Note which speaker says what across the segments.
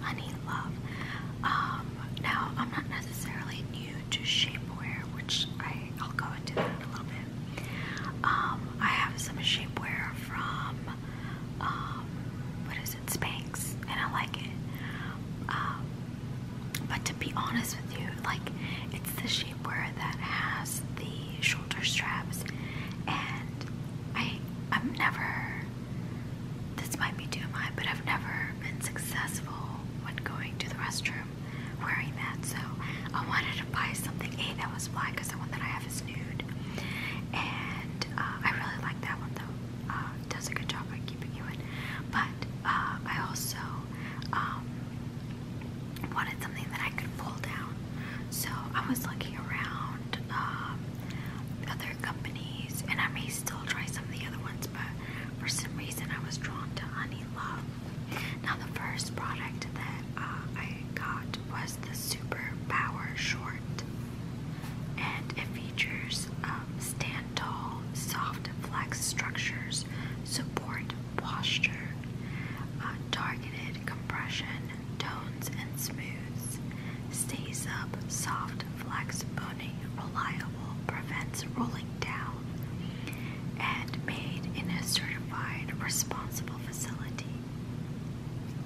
Speaker 1: honey love. Um, now, I'm not necessarily new to shapewear, which I, will go into a little bit. Um, I have some shapewear from, um, what is it, Spanx, and I like it. but to be honest with you, like, it's the shapewear that has the shoulder straps, and I, I'm never this might be too high, but I've never been successful when going to the restroom wearing that. So I wanted to buy something A that was black because the one that I have is nude, and uh, I really like that one though. Uh, it does a good job at keeping you in. But uh, I also um, wanted something that I could pull down, so I was looking around. Um, other companies, and I may still try some of the other ones, but for some reason I was drawn to Honey Love. Now, the first product that uh, I got was the Super Power Short, and it features um, stand tall, soft flex structures, support posture, uh, targeted compression, tones, and smooths. Stays up, soft, flex, bony, reliable, prevents rolling down, and made in a certified responsible facility.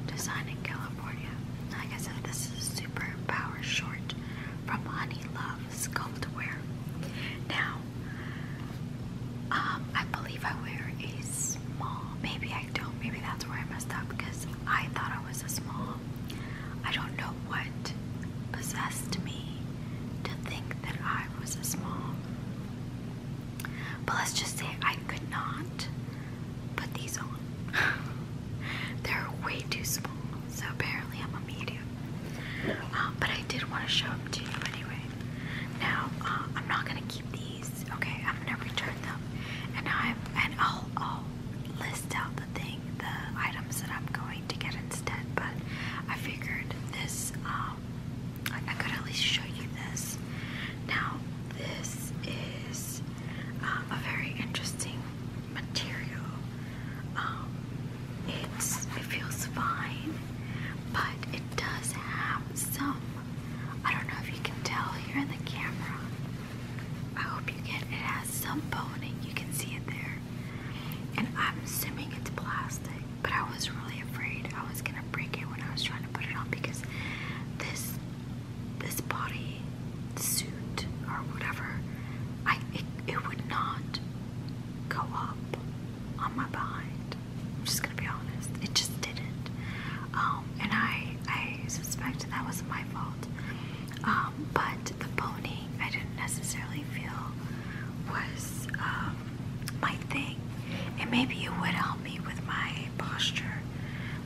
Speaker 1: Designed in California. Like I said, this is super power short from Honey Love Sculptwear. Now, um, I believe I wear a small. Maybe I don't. Maybe that's where I messed up because I thought was a small. I don't know what possessed me to think that I was a small. But let's just say I could not put these on. They're way too small, so apparently I'm a medium. Um, but I did want to show them to you anyway. Now uh, I'm not gonna keep these. Okay, I'm gonna return them, and I'm and will I'll list out thing, the items that I'm going to get instead. But I figured this, um, I, could at least show you this. Now, this is um, a very interesting material. Um, it's it feels fine, but it does have some. I don't know if you can tell here in the camera. I hope you get it has some boning, you can see it there. And I'm assuming it's plastic, but I was really afraid I was gonna break it when I was trying to put it on because this this body suit or whatever, I it, it would not go up on my behind. I'm just gonna be honest, it just didn't. Um, and I I suspect that was my fault. Um, but the boning I didn't necessarily feel was um, my thing. And maybe it would help me with my posture,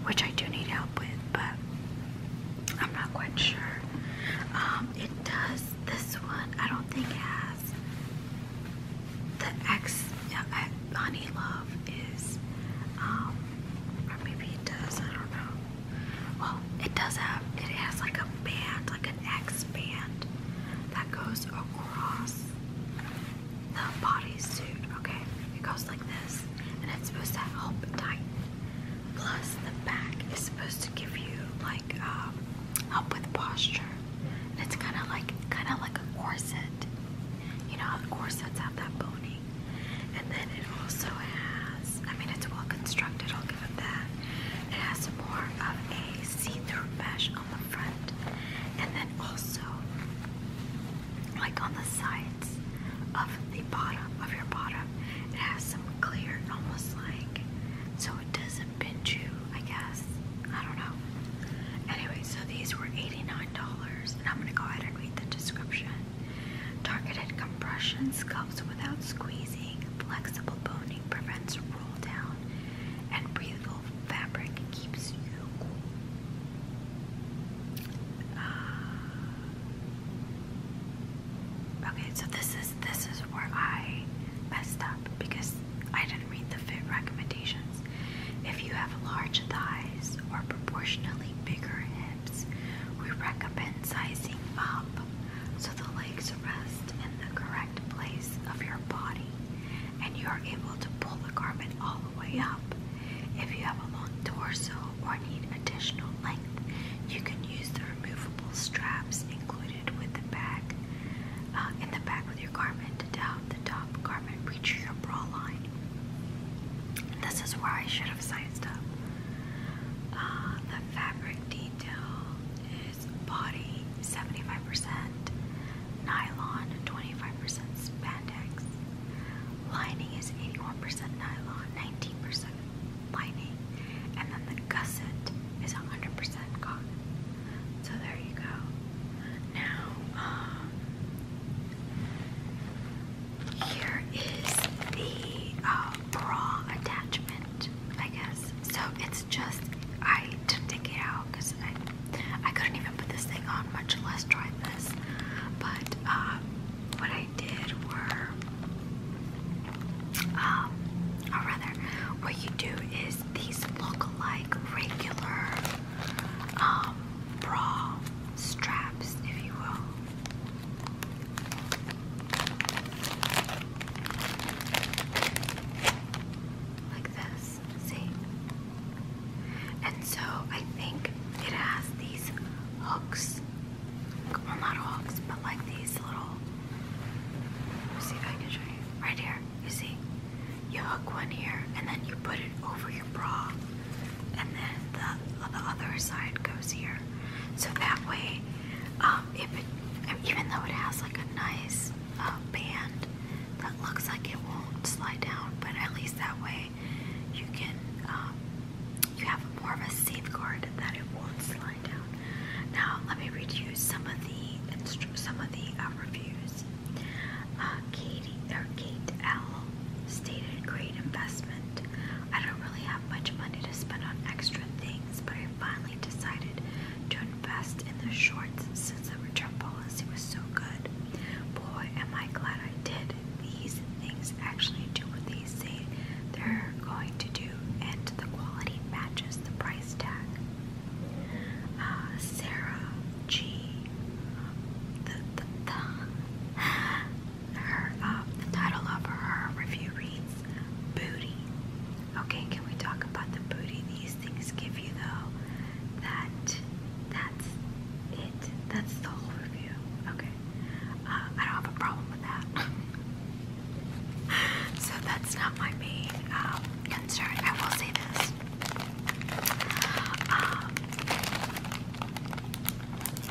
Speaker 1: which I do need help with, but I'm not quite sure. Um, it does, this one I don't think has the X, yeah, Honey Love is, or maybe it does, I don't know. Well, it does have, it has like a band, like an X band that goes across the bodysuit, okay? It goes like this, and it's supposed to help tighten. Plus, the back is supposed to give you like um, with posture. And it's kind of like, kind of like a corset. You know corsets have that boning. And then it also has, I mean, it's well constructed, I'll give it that. It has more of a see through mesh on the front, and then also, like on the sides of the bottom of your bottom, it has some clear, almost like so it doesn't pinch you, I guess. I don't know. Anyway, so these were $89, and I'm gonna go ahead and read the description. Targeted compression sculpts without squeezing. Flexible boning prevents roll down. And breathable fabric keeps you cool. Ah. okay, so this is this is where I messed up because I didn't read the fit recommendations. If you have large thighs or proportionally bigger hips, we recommend sizing up so the legs rest in the correct place of your body and you are able to pull the garment all the way up. If you have a long torso or need additional length, you can use the removable straps included with the bag uh, in the back with your garment to down the top garment reach your bra line. This is where I should have sized up. Uh, the fabric detail is body 75%, nylon 25% spandex. Lining is 81% nylon, 19% lining, and then the gusset is 100% cotton. So there you go. Now, um, here is the uh, bra attachment, I guess. So it's just I didn't take it out because I I couldn't even put this thing on, much less try this. But um, what I did were, um, or rather, what you do is these look like regular um, bra straps, if you will. Like this, see? And so I think it has these hooks. Well, not hooks, but like these little. see if I can show you. Right here, you see? You hook one here and then you put it over your bra and then the, other side goes here. So that way, um, if it, even though it has like a nice uh, band that looks like it won't slide down, but at least that way you can um, you have more of a safeguard that it won't slide down. Now let me read you some of the some of the uh, reviews. Uh, Katie or Kate L stated great investment. I don't really have much money to spend on extra things, but I finally decided to invest in the shorts since the return policy was so good. Boy, am I glad I did. These things actually do what they say they're going to do, and the quality matches the price tag. Uh, Sarah G. The, the, the her, um, title of her review reads Booty. Okay, can we talk about the booty these things give you though? That, that's it. That's the whole review. Okay. Um, I don't have a problem with that. so that's not my main um, concern. I will say this.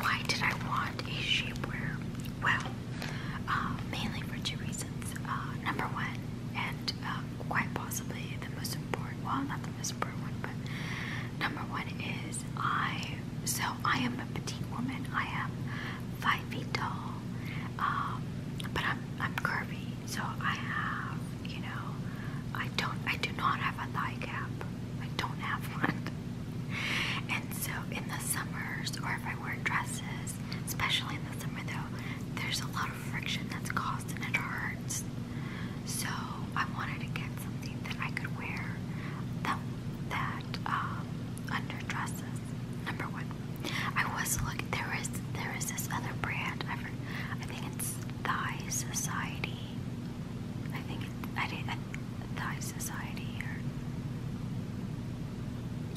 Speaker 1: why did I want a shapewear well, uh, mainly for two reasons. Uh, number one, and um, quite possibly the most important, well, not the most important one, but number one is I, so I am a petite woman. I am five feet tall, um, but I'm, I'm curvy, so I have, you know, I don't, I do not have a thigh gap. I don't have one. And so in the summers, or if I wear dresses, especially in the summer though, there's a lot of friction that's caused and it hurts. So I wanted to get something that I could wear that that um, under dresses. Number one, I was looking. There is there is this other brand. I, think it's Thigh Society. I think I didn't thy society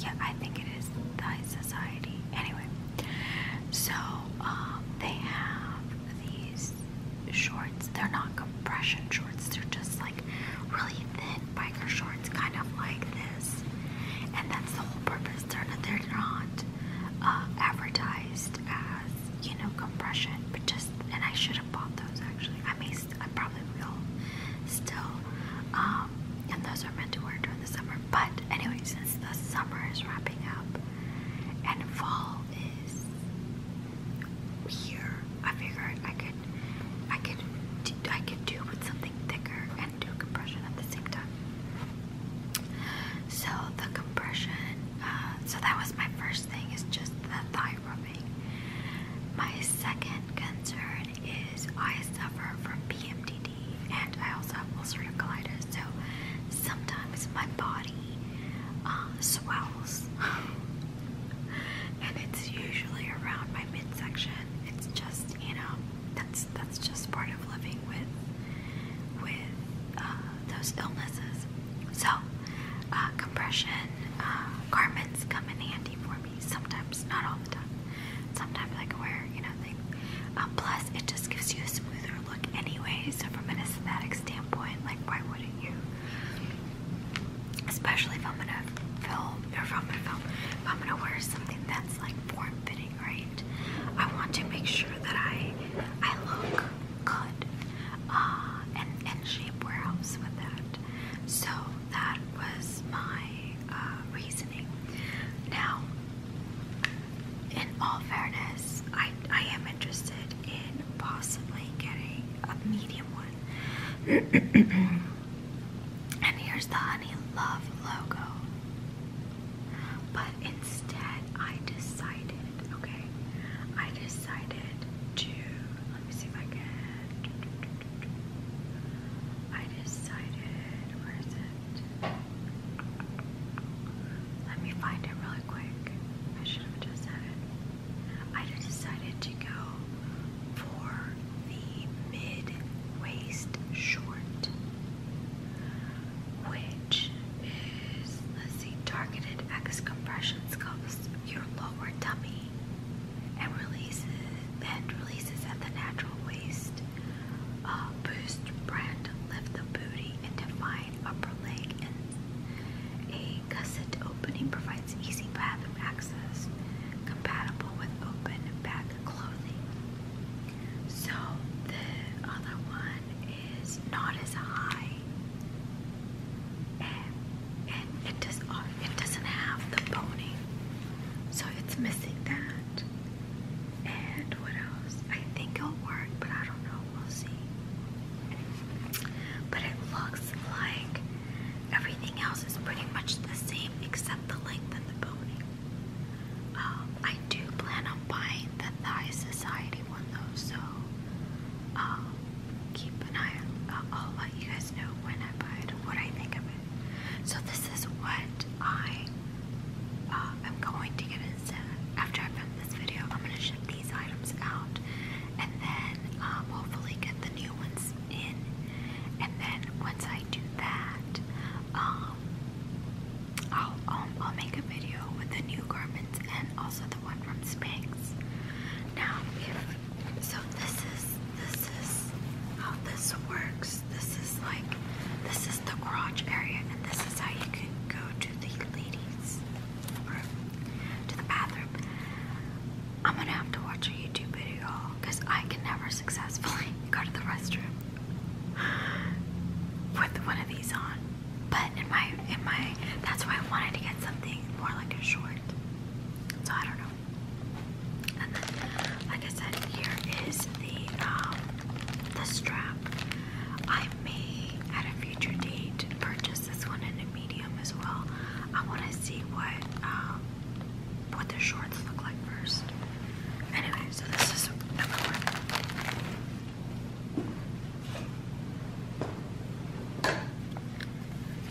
Speaker 1: Yeah, I think it is thigh society. Anyway, so um, they have these shorts. They're not compression shorts. They're just like really thin biker shorts, kind of like this. And that's the whole purpose. They're not, they're not uh, advertised as you know compression, but just. And I should have bought those actually. I may I probably will still. Um, and those are meant to wear during the summer. But anyway, since the summer is wrapping up and fall is here, I figured I could, I could, I could do with something thicker and do compression at the same time. So the compression, uh, so that was my first thing is just the thigh my second concern is I suffer from PMDD and I also have ulcerative colitis, so sometimes my body um, swells, and it's usually around my midsection. It's just you know that's that's just part of living with with uh, those illnesses. So uh, compression uh, garments come in handy for me sometimes, not all the time. Sometimes I can wear, you know, um, plus, it just gives you a smoother look anyway. So, from an aesthetic standpoint, like, why wouldn't you? Especially if I'm gonna film, or if I'm gonna film, if I'm gonna wear something that's like form fitting, right? I want to make sure that I I look good uh, and and shape warehouse with that. So that was my uh, reasoning. Now, in all fairness, I, I am interested in possibly getting a medium one. and here's the Honey Love logo. But instead, I decided, okay, I decided to, let me see if I can, I decided, where is it? Let me find it really quick. I should have just said it. I decided to go for the mid waist short, which is, let's see, targeted X compression sculpts your lower tummy and releases and releases at the natural waist. Uh, boost brand lift the booty and define upper leg a gusset opening provides easy bathroom access compatible with open back clothing. So the other one is not as high and it does oh, it doesn't have the pony, so it's missing that. And what else? I think it'll work, but I don't know. We'll see. But it looks like everything else is pretty much the same except the length and the boning. Um, I do plan on buying the Thigh Society one though, so um, keep an eye. Uh, I'll let you guys guys know when I buy it and what I think of it. So this is what I uh, am going to get instead. After I film this video, I'm going to ship these items out and then um, hopefully get the new ones in. And then once I do that, um, I'll, um, I'll make a video with the new garments and also the one from Spanx. Now, if, so this is this is how this works. This is like, this is the garage area, and this is how you can go to the ladies' room, to the bathroom. I'm gonna have to watch a YouTube video because I can never successfully go to the restroom with one of these on. But in my, in my, that's why I wanted to get something more like a short. So I don't know like I said, here is the um, the strap. I may at a future date purchase this one in a medium as well. I want to see what um, what the shorts look like first. Anyway, so this is number one.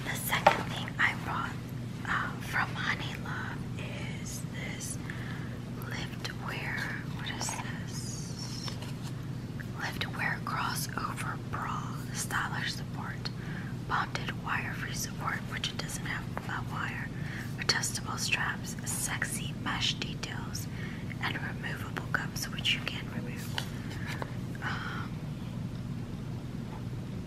Speaker 1: The second thing I brought um, from Honey Love is this liftwear. What is this? Liftwear crossover bra, stylish support, bonded wire-free support, which it doesn't have a wire, adjustable straps, sexy mesh details, and removable cups, which you can remove. Um,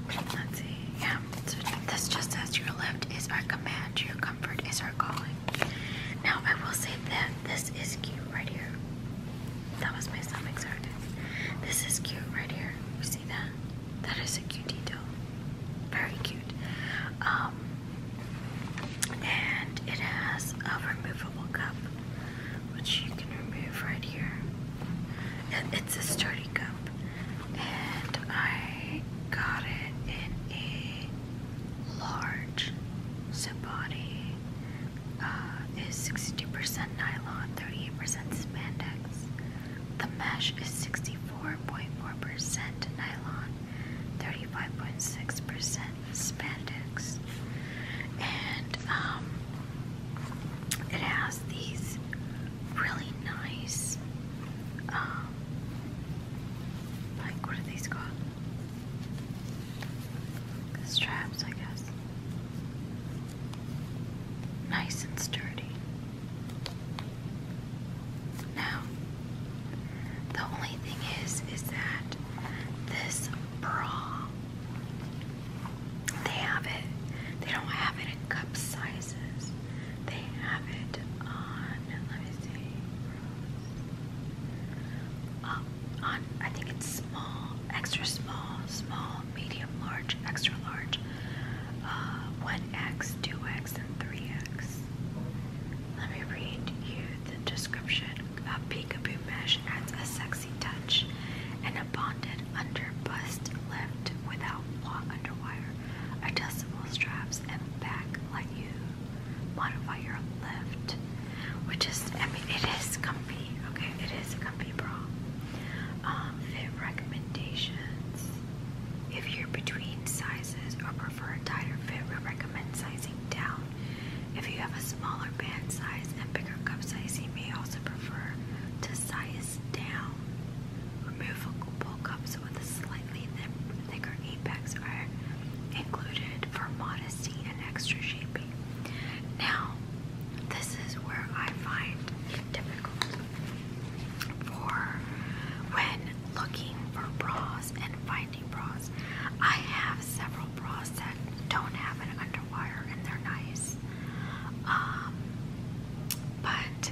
Speaker 1: Let's see. Yeah. So this just says your left is our command, your comfort is our calling. Now I will say that this is cute right here. That was my stomach started. This is cute right here. You see that? That is a cute detail. Very cute. Um, and it has a removable cup which you can remove right here. it's a sturdy cup. And I got it in a large. So body uh, is percent nylon, 38% spandex. The mesh is 64.4% nylon, 35.6% spandex. And um, it has these really nice, um, like what are these called? The straps, I guess. Nice and sturdy. Now, the only thing is, is that this bra they have it. They don't have it in cup sizes. They have it on. Let me see. Uh, on. I think it's small, extra small, small, medium, large, extra large. Uh, 1x, 2x, and 3x. Let me read you the description. A peekaboo mesh adds a sex touch, and a bonded under bust left without plot adjustable straps, and back let you modify your lift. Which is, I mean, it is comfy. Okay, it is a comfy bra. Um, fit recommendations. If you're between sizes or prefer a tighter fit, we recommend sizing down. If you have a smaller band size and bigger cup size, you may also prefer to size down. Removable cups with a slightly thicker apex are included for modesty and extra shaping. Now, this is where I find it difficult for when looking for bras and finding bras. I have several bras that don't have an underwire and they're nice. Um, but,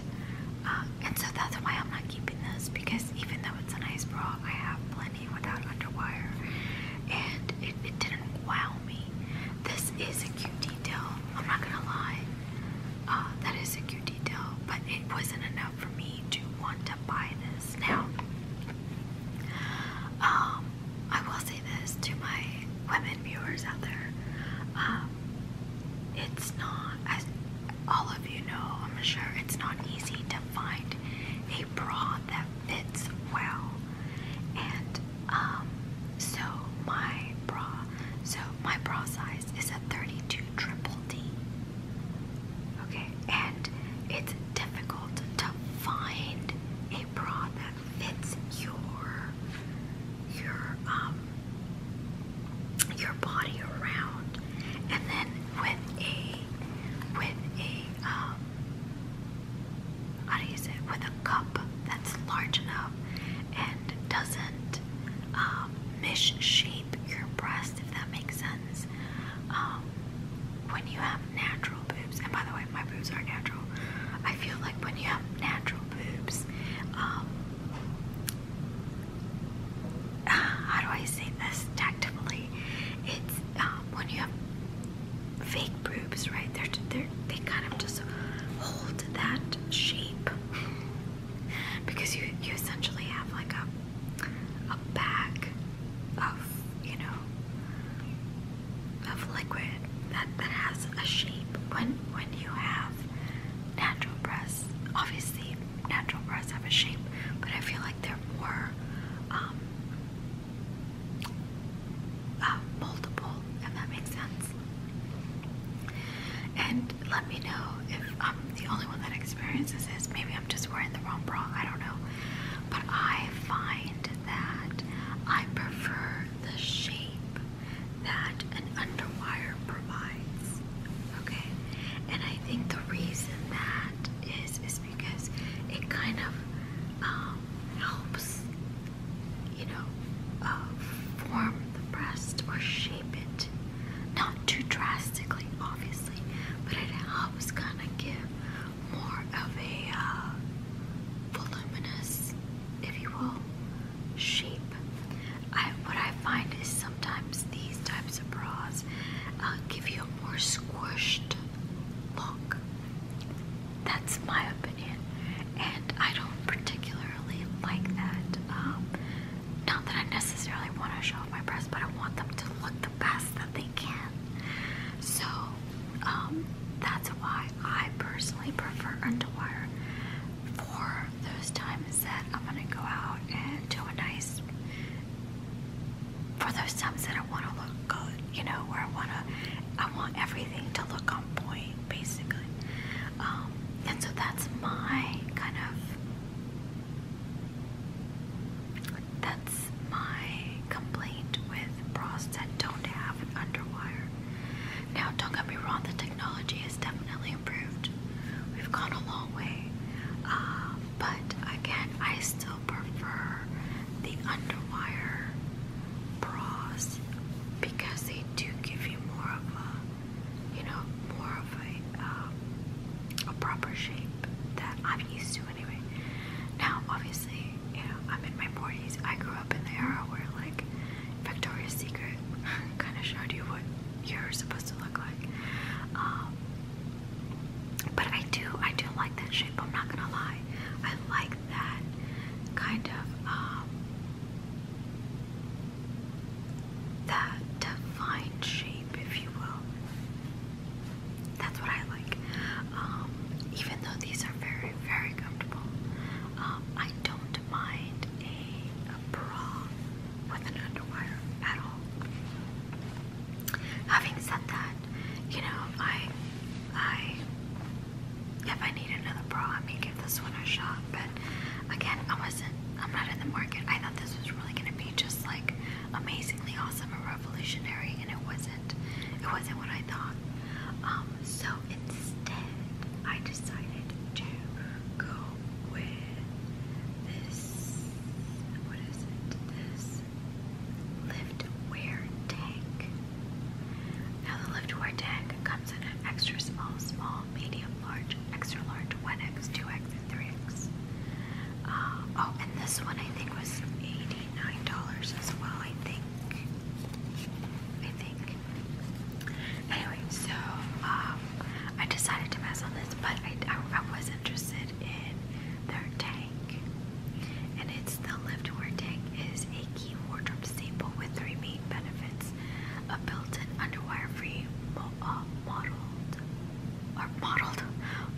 Speaker 1: uh, and so that's why I'm not keeping this because even though it's a nice bra, I have plenty without underwire and it, it didn't wow me. This is a cute detail, I'm not gonna lie. Uh, that is a cute detail, but it wasn't enough for me to want to buy this. Now, um, I will say this to my women viewers out there. Um, it's not, as all of you know, I'm sure, it's not easy to find a bra that fits well. And um, so my bra, so my bra size is a 32 triple D. Okay, and it's difficult to find a bra that fits your your um your body around and then with a with a um how do you say with a cup that's large enough and doesn't um, misshape your breast if that makes sense um, when you have natural boobs and by the way my boobs are natural I feel like when you have natural boobs. Um, how do I say this tactfully? It's um, when you have fake boobs, right? They're, they're, they kind of just hold that shape because you, you essentially have like a, a bag of, you know, of liquid that, that has a shape when when you have natural breasts obviously natural breasts have a shape but I feel like they're more multiple. Um, uh, if that makes sense and let me know if I'm um, the only one that experiences this maybe I'm just wearing the wrong bra I don't know but I find that I prefer the shape that an underwire provides. Okay? And I think the reason that is is because it kind of um, helps, you know, uh, form the breast or shape it. Not too drastically, obviously, but it helps kind of give more of a uh, voluminous, if you will, shape. I, what I find is sometimes these types of bras uh, give you a more squished look. That's my opinion, and I don't particularly like that. Um, not that I necessarily want to show off my breasts, but I want them to look the best that they can. So um, that's why I personally prefer underwear for those times that I'm gonna go out and do a nice for those times that I want to look good, you know, where I want to, I want everything to look on point, basically. Um, and so that's my kind of, that's my complaint with bras that don't have an underwire. Now, don't get me wrong, the technology has definitely improved. We've gone a long way. Uh, but again, I still prefer the underwire bras because they do give you more of a, you know, more of a, um, a proper shape that I'm used to anyway. Now, obviously, you know, I'm in my 40s. I grew up in the era where, like, Victoria's Secret kind of showed you what you're supposed to look like. Um, but I do, I do like that shape. I'm not gonna lie. I like that kind of um, that defined shape, if you will. That's what I like. Um, even though these are very, very comfortable, I don't not mind a, a bra with an underwear at all. Having said that, you know, I, I, if I need another bra, I may give this one a shot. But again, I wasn't, I'm not in the market. I thought this was really going to be just like amazingly awesome and revolutionary, and it wasn't. It wasn't what I thought. Um, so instead, I decided to go with this. What is it? This lift wear tank. Now, the lift wear tank comes in an extra small, small, medium, large, extra large, 1x, 2x, and 3x. Uh, oh, and this one I think was $89 as well, I think. I think. Anyway, so um, I decided to mess on this, but I, was interested in their tank. And it's the Liftwear tank is a key wardrobe staple with three main benefits: a built-in underwire-free mo uh, or modeled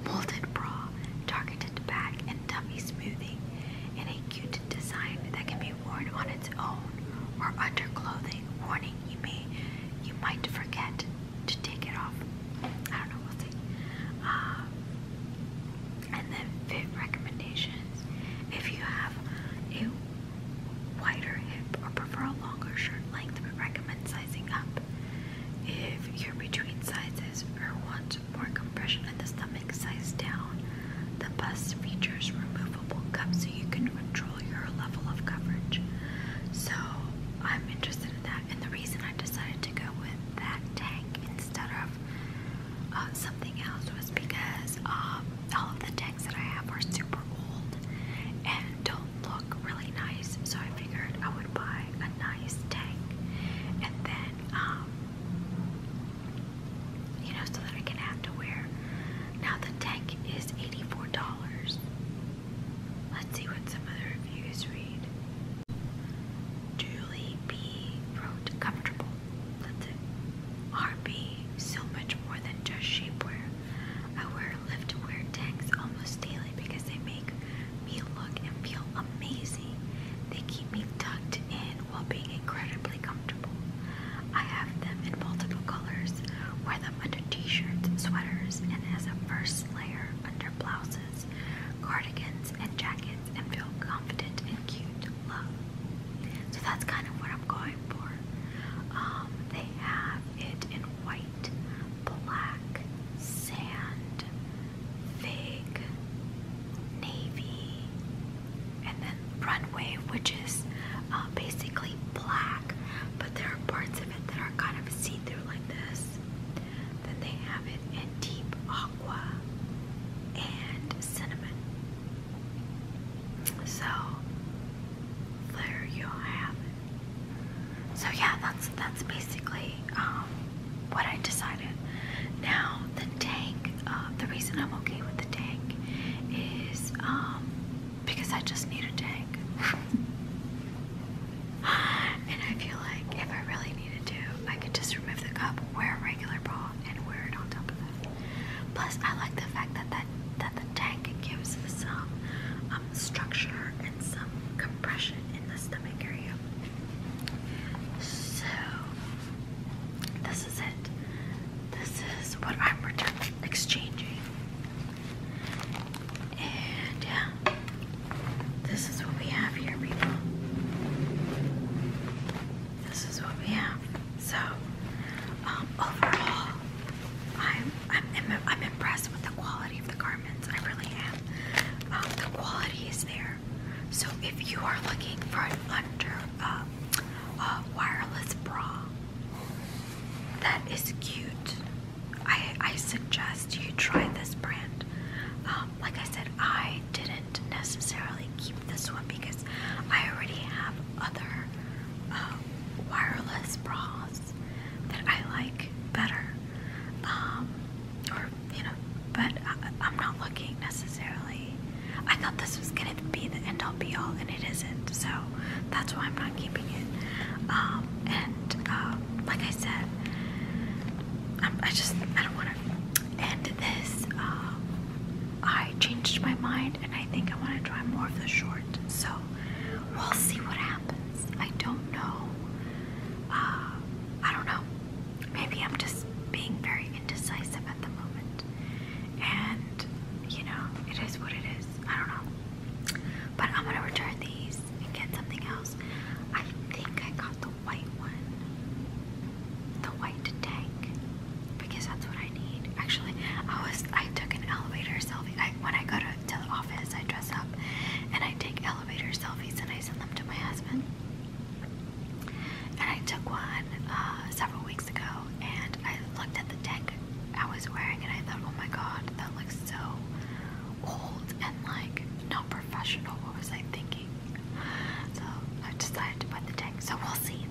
Speaker 1: molded bra, targeted back, and tummy smoothing, in a cute design that can be worn on its own or under clothing, warning you may you might forget to take it off. I don't know, we'll see. Um, and then fit recommendations. If you have a wider hip or prefer a longer shirt length, we recommend sizing up. If you're between sizes or want more compression in the stomach, size down. The best features removable cups so you can control your level of coverage. So I'm interested in that. And the reason I decided to go with that tank instead of uh, something else was because um, all of the tanks that I have were super old and don't look really nice. So I figured I would buy a nice tank and then um, you know, so that I can have to wear. Now the tank is $84. Let's see what some other reviews read. Julie B wrote comfortable. That's it. RB, so much more than just shapewear. I wear liftwear tanks almost daily because they make me look and feel amazing. They keep me tucked in while being incredibly comfortable. I have them in multiple colors, wear them under t-shirts, sweaters, and as a first layer under blouses, cardigans, and jackets, and feel confident and cute. Love. So that's kind of what I'm going for. Um, they have it in white, black, sand, fig, navy, and then runway, which is uh, basically black, but there are parts of it that are kind of see through like this. Then they have it in deep aqua and cinnamon. So there you have it. So yeah, that's that's basically um, what I decided. Now the tank uh, the reason I'm okay with the tank is um, because I just need a tank. and I feel like if I really needed to, I could just remove the cup, wear a regular bra, and wear it on top of that. Plus, I like the fact that that, that the tank gives some um, structure and some compression in the stomach area. So this is it. This is what I'm returning, exchanging. And yeah, this is what we have here, people. This is what we have. So, um, overall, I'm I'm I'm impressed with the quality of the garments. I really am. Um, the quality is there. So, if you are looking for an under uh, wireless bra that is cute. I, I suggest you try this brand. Um, like I said, I didn't necessarily keep this one because I already have other um, wireless bras that I like better. Um, or, you know, but I'm not looking necessarily I thought this was gonna be the end all be all, and it isn't. So that's why I'm not keeping it. Um, and um, like I said, i just I don't want to end this. Um, I changed my mind, and I think I want to try more of the short. So we'll see what happens. I don't know. Uh, I don't know. Maybe I'm just being very indecisive at the moment and you know, it is what it is. I don't know. But I'm gonna return these and get something else. I think I got the white one, the white tank, because that's what I need. Actually, I was I took an elevator selfie. I, when I go to, the office, I dress up and I take elevator selfies and I send them to my husband. And I took one uh, several weeks ago, and I looked at the deck I was wearing and I thought, oh my god, that looks so old and like not professional. What was I thinking? So I decided to buy the deck. So we'll see.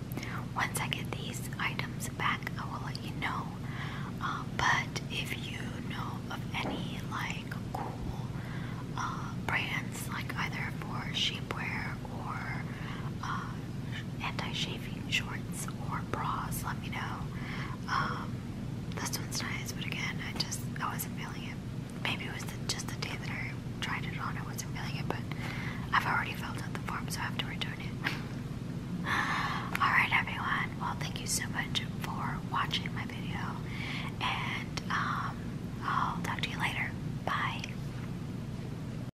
Speaker 1: Once I get these items back, I will let you know. Um, but if you know of any like cool uh, brands, like either for sheepwear or um, anti shaving shorts or bras, let me know. Um, this one's nice, but again, I just, I wasn't feeling it. Maybe it was just the day that I tried it on, I wasn't feeling it, but I've already filled out the form, so I have to return it. Alright everyone, well thank you so much for watching my video, and um, I'll talk to you later. Bye!